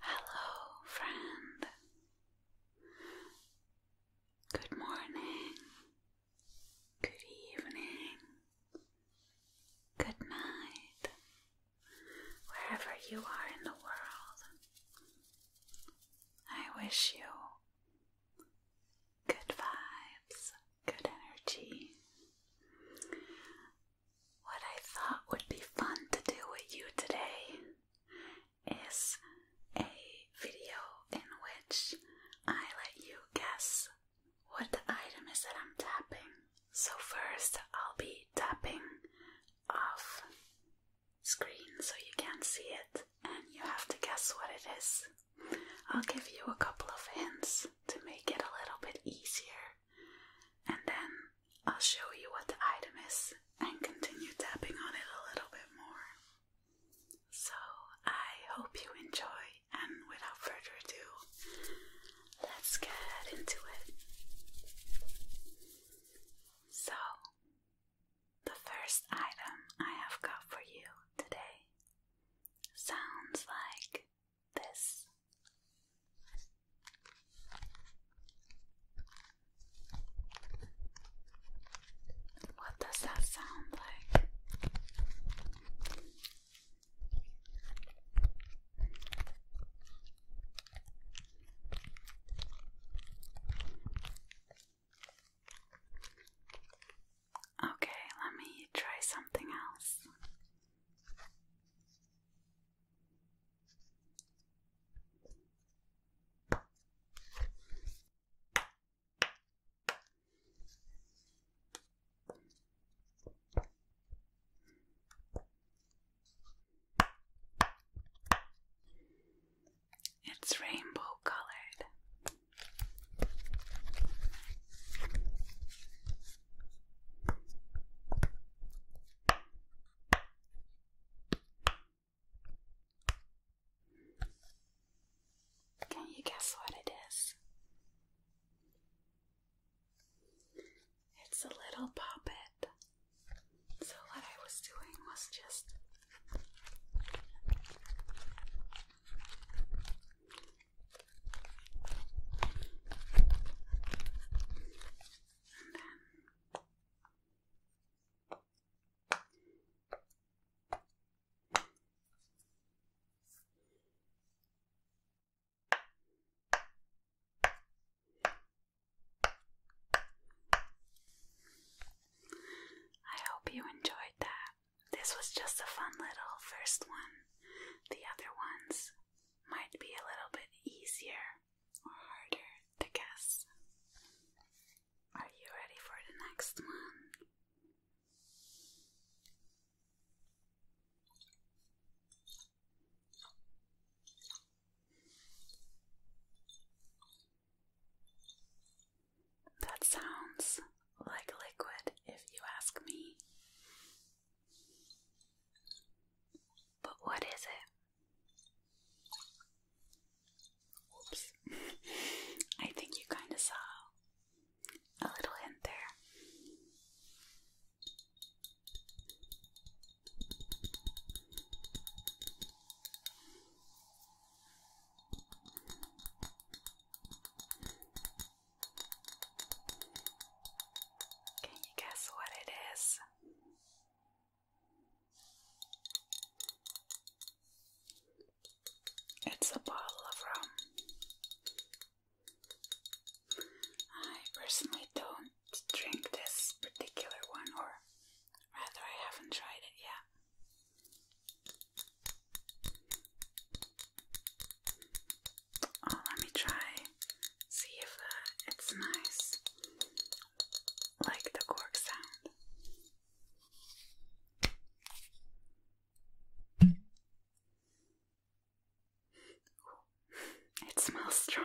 Hello, friend. Good morning. Good evening. Good night. Wherever you are in the world, I wish you good vibes good energy. What I thought would be fun to do with you today is a video in which I let you guess what the item is that I'm tapping. So, first, I'll be tapping off screen so you can't see it, and you have to guess what it is. I'll give you a couple of hints to make it a little bit easier, and then I'll show you what the item is and continue tapping on it a little bit more. So I hope you enjoy, and without further ado, let's get into it. So, the first item I have got for you today sounds like this. What does that sound like? Okay, let me try something else. It's rainbow colored. Can you guess what it is? It's a little puppet. So, what I was doing was just I hope you enjoyed that. This was just a fun little first one. The other ones might be a little bit easier or harder to guess. Are you ready for the next one? That sounds like liquid, if you ask me. But what is it? Oops. I think you kind of saw a little hint there. Can you guess what it is? It's a bottle of rum. I personally don't drink this particular one, or rather, I haven't tried it yet. Oh, let me try. See if uh, it's nice. Like the cork sound. it smells strong.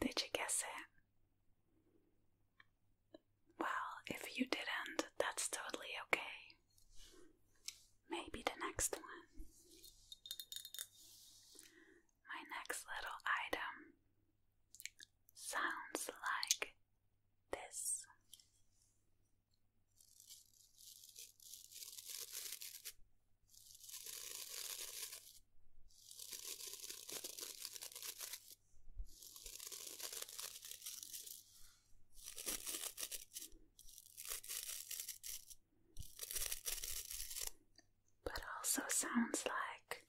Did you guess it? Well, if you didn't, that's totally okay. Maybe the next one. My next little item sounds like this but also sounds like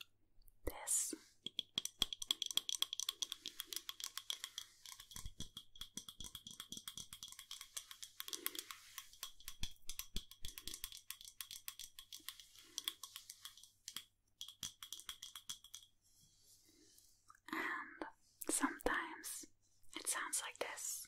this. And sometimes it sounds like this.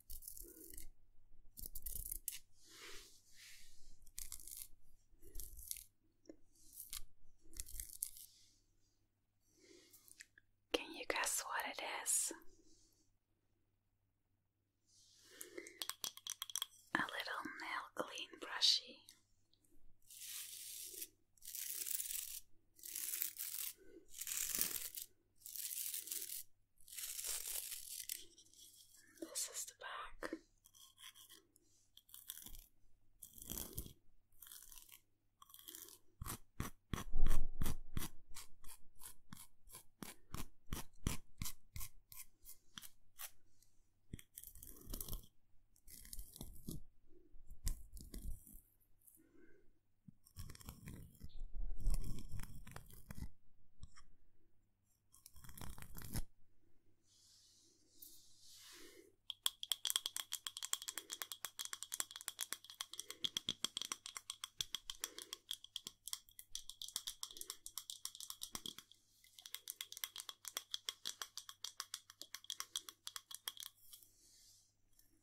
Can you guess what it is? A little nail clean brushy. This is the back.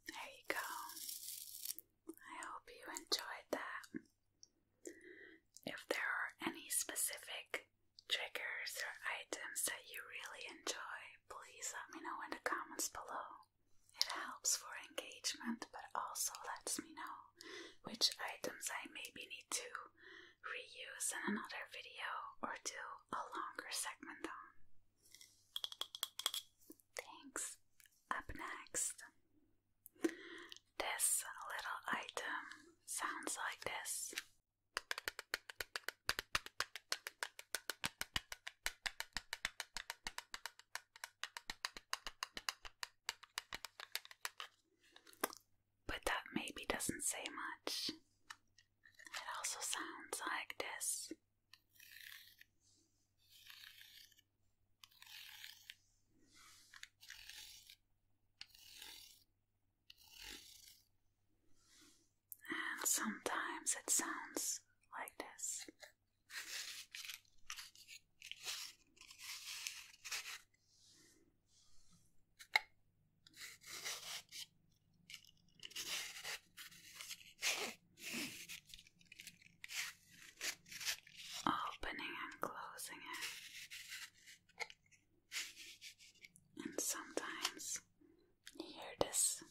There you go. I hope you enjoyed that. If there are any specific triggers or items that you really enjoy, please let me know in the comments below. It helps for engagement but also lets me know which items I maybe need to reuse in another video or do a longer segment on. Thanks. Up next. This little item sounds like this. But that maybe doesn't say much. It also sounds like this. And sometimes it sounds like this opening and closing it. And sometimes you hear this.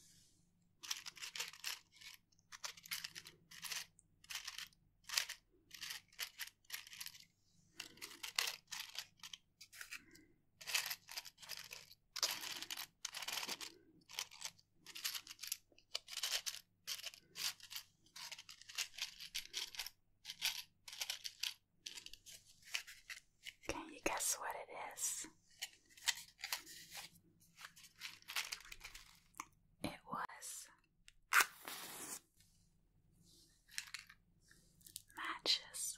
Can you guess what it is? It was matches.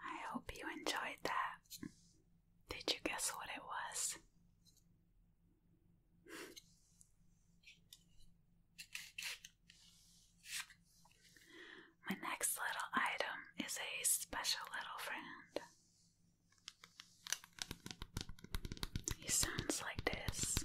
I hope you enjoyed that. Did you guess what it was? My next little item is a special little friend. He sounds like this.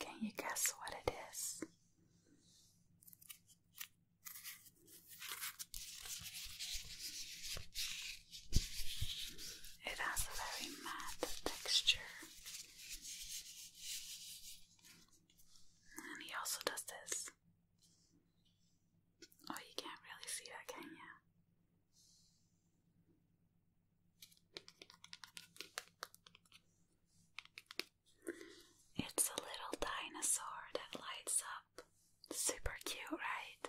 Can you guess what it is? It has a very matte texture. And he also does this. Oh, you can't really see that, can you? It's a little dinosaur that lights up. Super cute, right?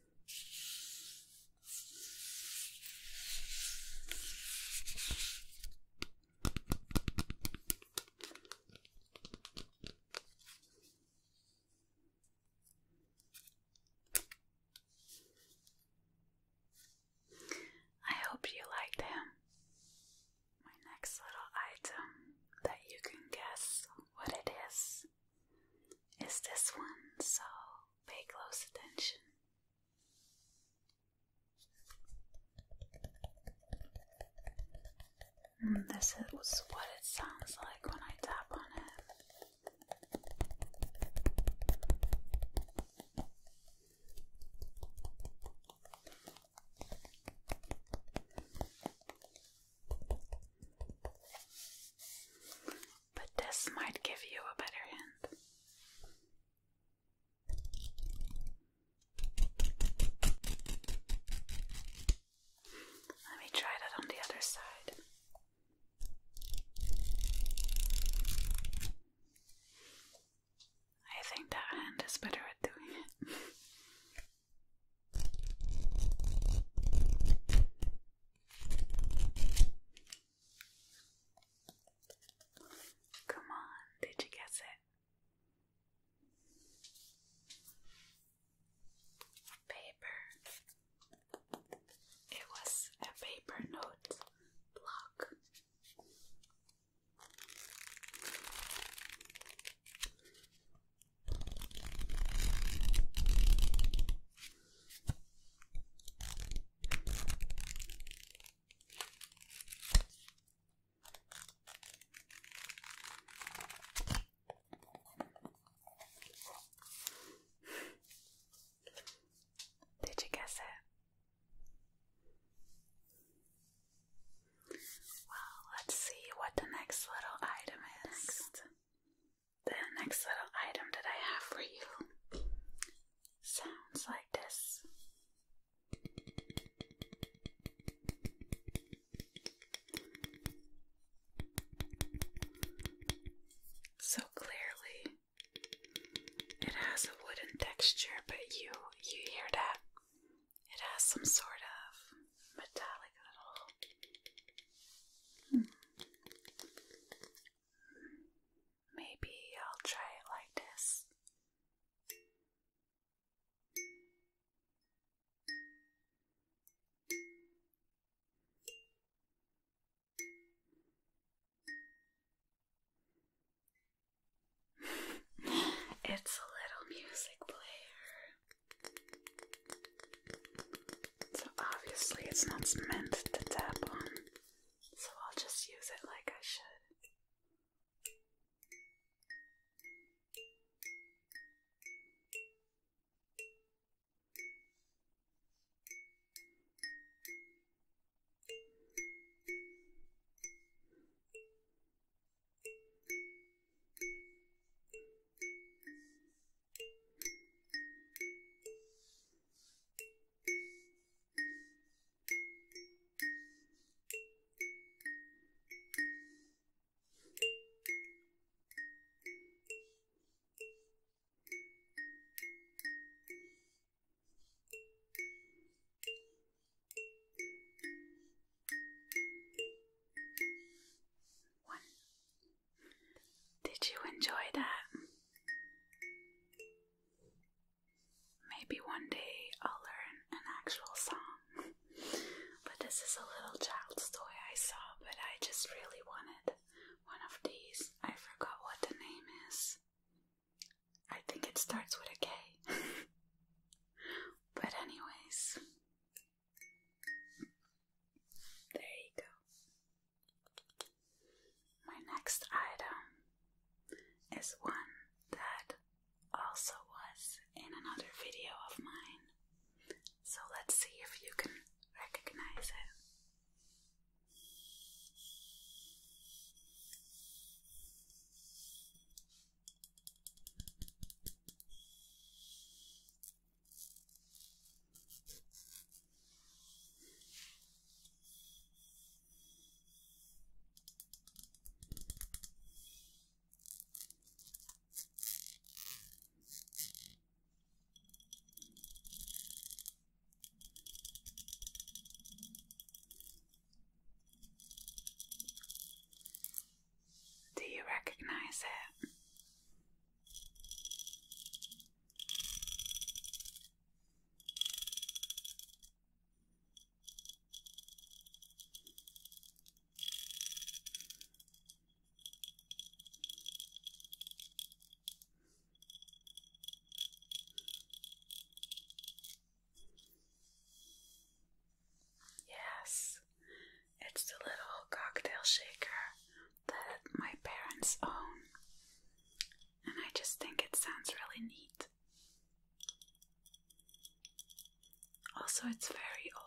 I hope you liked him. My next little item that you can guess what it is is this one, so pay close attention. Mm, this is what it sounds like when I tap on it but this might give you a better hint. Let me try that on the other side. I think that hand is better at doing it. Come on, did you guess it? Paper. It was a paper note block. Did you guess it? Well, let's see what the next little item is the next little item that I have for you sounds like this. So clearly, it has a wooden texture, but you you hear that it has some sort of metallic little. Hmm, Maybe I'll try it like this. it's a little music player. So obviously, it's not meant to tap on so I'll just use it like I should. One. Did you enjoy that? Maybe one day I'll learn an actual song. but this is a little child's toy I saw, but I just really wanted one of these. I forgot what the name is. I think it starts with a K. but, anyways, there you go. My next item is one that also was in another video of mine, so let's see if you can recognize it. Do you recognize it? Yes, it's the little cocktail shaker that my parents own and I just think it sounds really neat. Also, it's very old.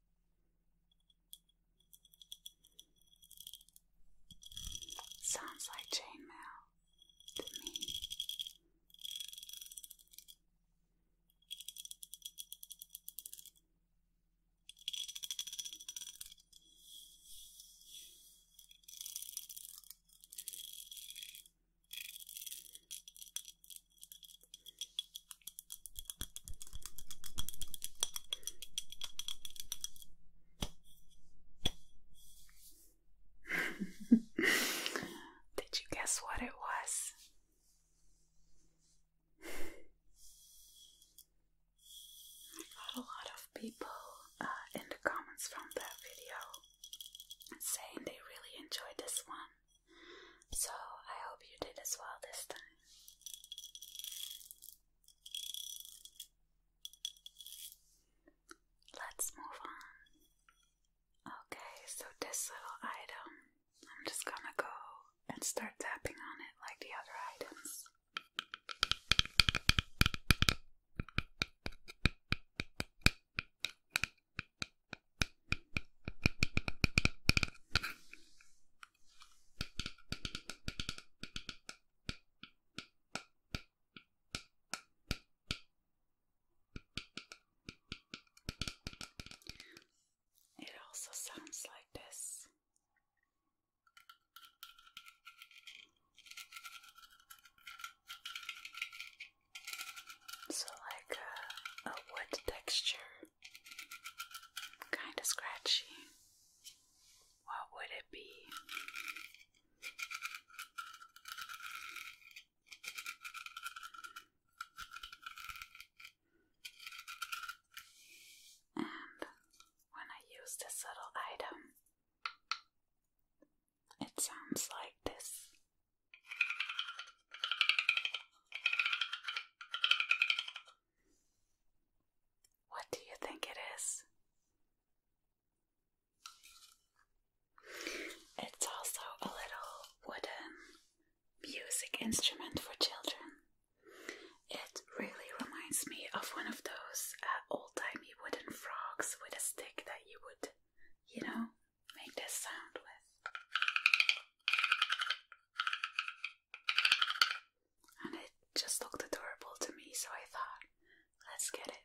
Sounds like chainmail to me. Did you guess what it was? I got a lot of people uh, in the comments from that video saying they really enjoyed this one. So I hope you did as well this time. Let's move on. Okay, so this little item, I'm just gonna go and start tapping on it like the other items. It also sounds like this. So, like a, wood texture kind of scratchy. What would it be? And when I use this little item, it sounds like this. What do you think it is? It's also a little wooden music instrument for children. It really reminds me of one of those uh, old timey wooden frogs with a stick that you would, you know, make this sound with. And it just looked adorable to me, so I thought, let's get it.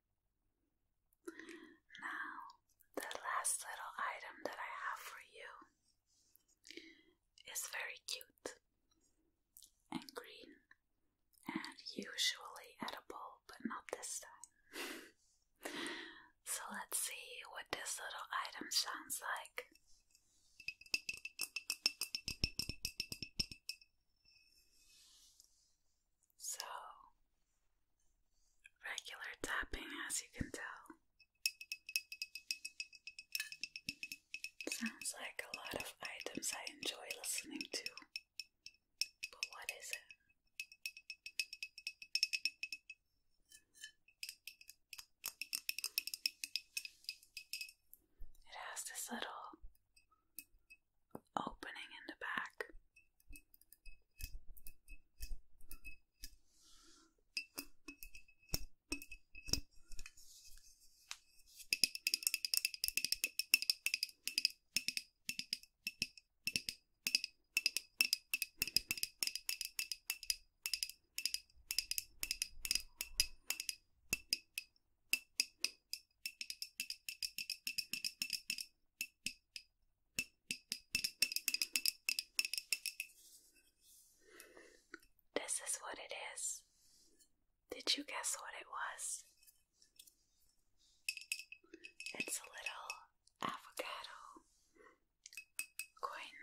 Now, the last little item that I have for you is very cute and green and usually edible, but not this time. so, let's see what this little item sounds like. So, regular tapping, as you can tell. Sounds like a lot of items I enjoy listening to. But what is it? It has this little opening in the back. This is what it is. Did you guess what it was? It's a little avocado coin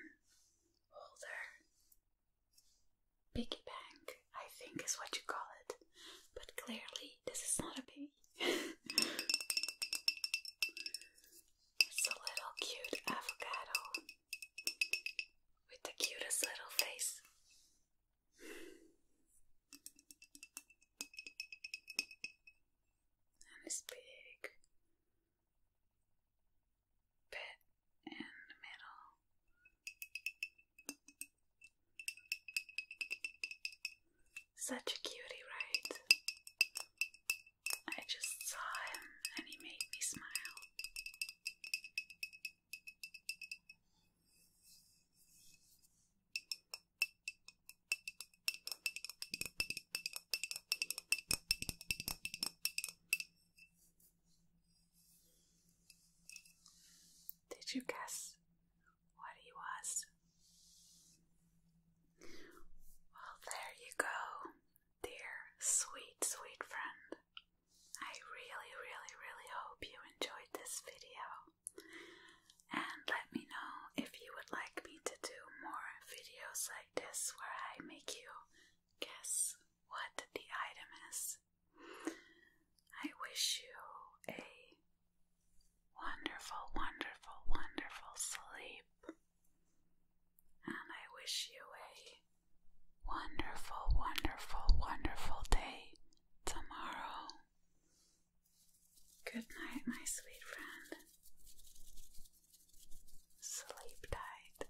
holder piggy bank. I think is what you call it. But clearly, this is not a baby. it's a little cute avocado with the cutest little face. And it's big bit in the middle. Such a cutie, right? I just saw him and he made me smile. Did you guess what he was. Well, there you go, dear, sweet, sweet friend. I really, really, really hope you enjoyed this video. And let me know if you would like me to do more videos like this where I make you guess what the item is I wish you a wonderful, wonderful, wonderful sleep. And I wish you a wonderful, wonderful, wonderful day tomorrow. Good night, my sweet friend. Sleep tight.